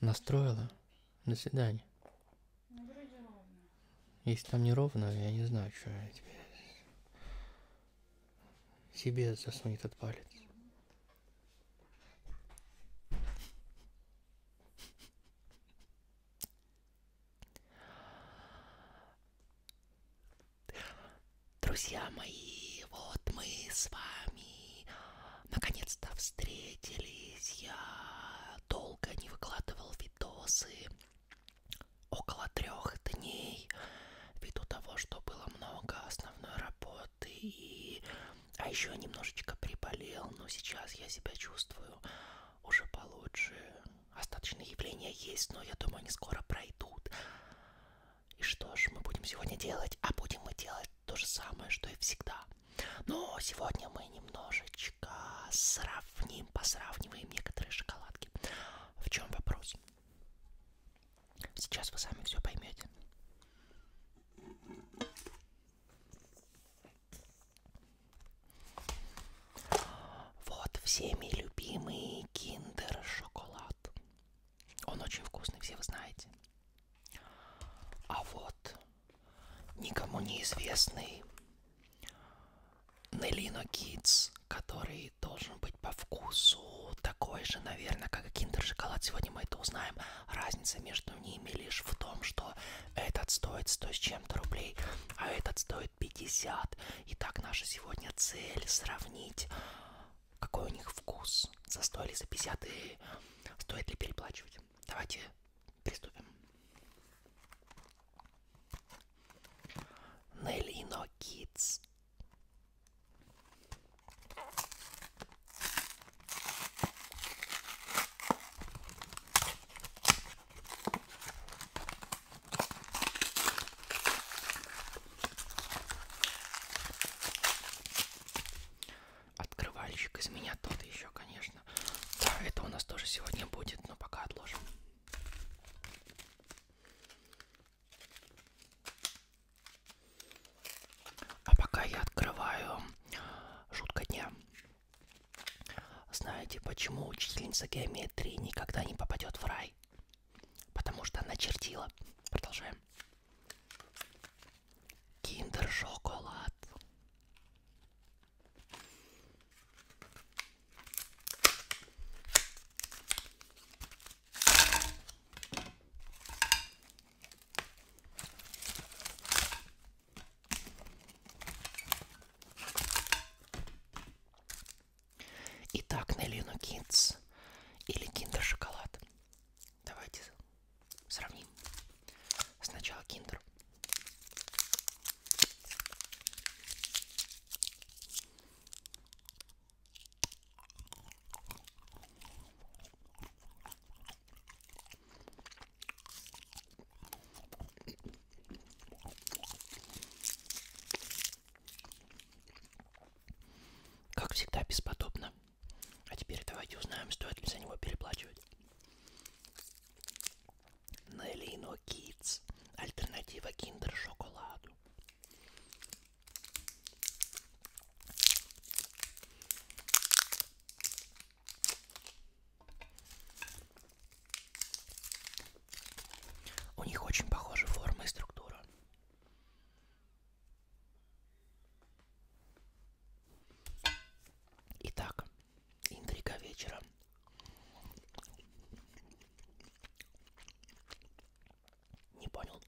Настроила на свидание. Ну, вроде ровно. Если там не ровно, я не знаю, что я тебе... Себе засунет этот палец. Друзья мои, вот мы с вами наконец-то встретились. Я долго не выкладывал видосы, около трех дней, ввиду того, что было много основной работы и... А еще немножечко приболел, но сейчас я себя чувствую уже получше. Остаточные явления есть, но я думаю, они скоро пройдут. И что ж мы будем сегодня делать? А будем мы делать то же самое, что и всегда. Но сегодня мы немножечко сравним, посравниваем некоторые шоколадки. В чем вопрос? Сейчас вы сами все поймете. Вот всеми любимый киндер шоколад салат. Он очень вкусный, все вы знаете. А вот никому неизвестный Нелино Китс, который должен быть по вкусу такой же, наверное, как и киндер шоколад. Сегодня мы это узнаем. Разница между ними лишь в том, что этот стоит 100 с чем-то рублей, а этот стоит 50. Итак, наша сегодня цель сравнить, какой у них вкус. За 100 или за 50 и стоит ли переплачивать. Давайте приступим. Нелино Kids. Открывальщик из меня тот еще, конечно. Да, это у нас тоже сегодня будет, но пока отложим. А пока я открываю шутка дня. Знаете, почему учительница геометрии никогда не попадет в рай? Потому что она чертила. Продолжаем. Киндер-шоколад. Итак, Нелину Киндс или Киндер Шоколад. Давайте сравним. Сначала Киндер. Как всегда, бесподобно. А теперь давайте узнаем, стоит ли за него переплачивать. Нелино Kids. Альтернатива киндер-шоколаду. У них очень похожи форма и структура. Итак, интрига вечера. Не понял.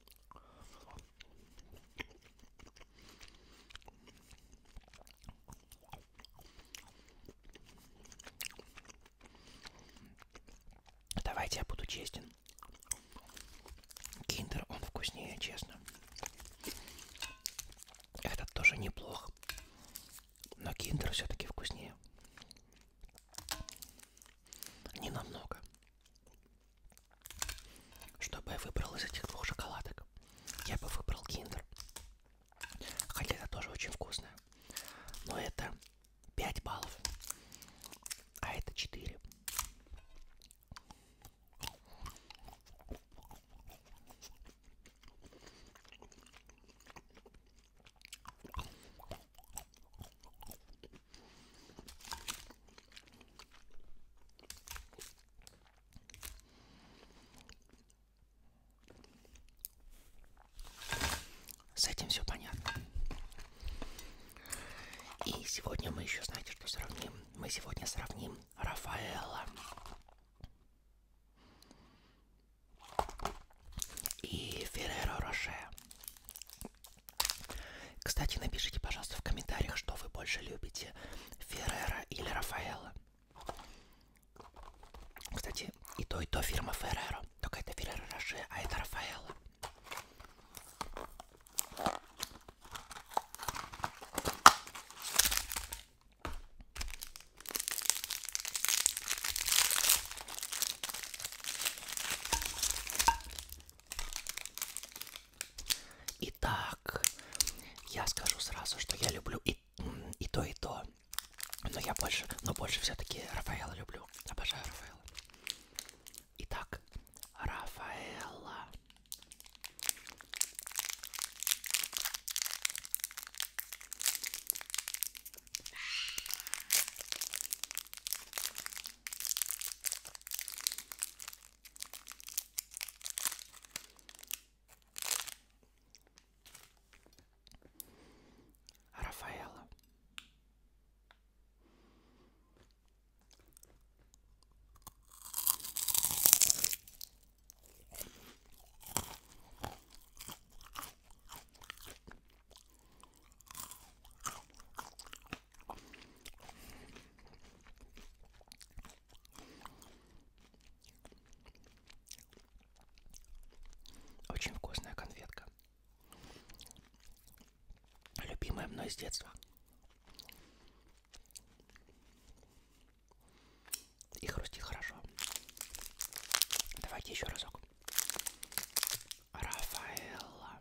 Давайте я буду честен. Киндер, он вкуснее, честно. Этот тоже неплох. Но киндер все-таки вкуснее. Не намного. Чтобы я выбрал из этих двух шоколадок я бы выбрал киндер. Хотя это тоже очень вкусное. Но это 5 баллов. А это 4. С этим все понятно. И сегодня мы еще, знаете, что сравним? Мы сегодня сравним Рафаэла и Ферреро Роше. Кстати, напишите, пожалуйста, в комментариях, что вы больше любите, Феррера или Рафаэла. Кстати, и то, и то фирма Феррера. Только это Феррера Роше, а это Рафаэла. Итак, я скажу сразу, что я люблю и, и то, и то. Но я больше, но больше все-таки Рафаэла люблю. Обожаю Рафаэла. Итак, Рафаэла. Рафаэла. Очень вкусная конфетка. Любимая мной с детства. И хрустит хорошо. Давайте еще разок. Рафаэлла.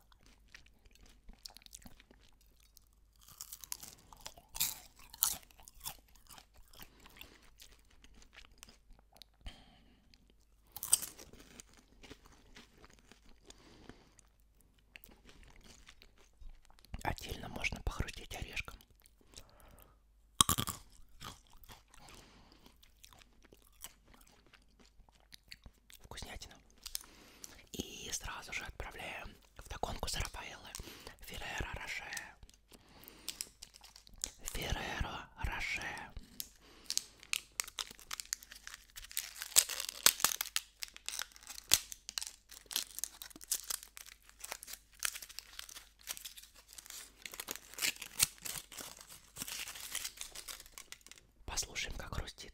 Отдельно можно похрустить орешком вкуснятина. И сразу же отправляем в догонку с Рафаэлло Ферреро Роше. Ферреро Роше. Послушаем, как хрустит.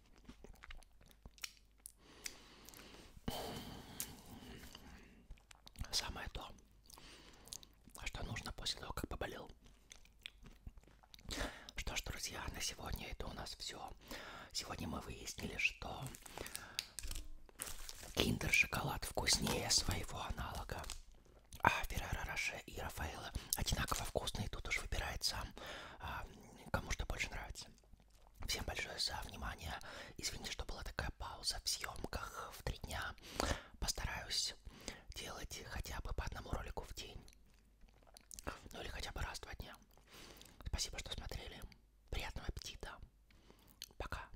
Самое то, что нужно после того, как поболел. Что ж, друзья, на сегодня это у нас все. Сегодня мы выяснили, что киндер-шоколад вкуснее своего аналога. А Феррара Роше и Рафаэла одинаково вкусные. Тут уж выбирает сам, а, кому что больше нравится. Всем большое за внимание. Извините, что была такая пауза в съемках в три дня. Постараюсь делать хотя бы по одному ролику в день. Ну или хотя бы раз в два дня. Спасибо, что смотрели. Приятного аппетита. Пока.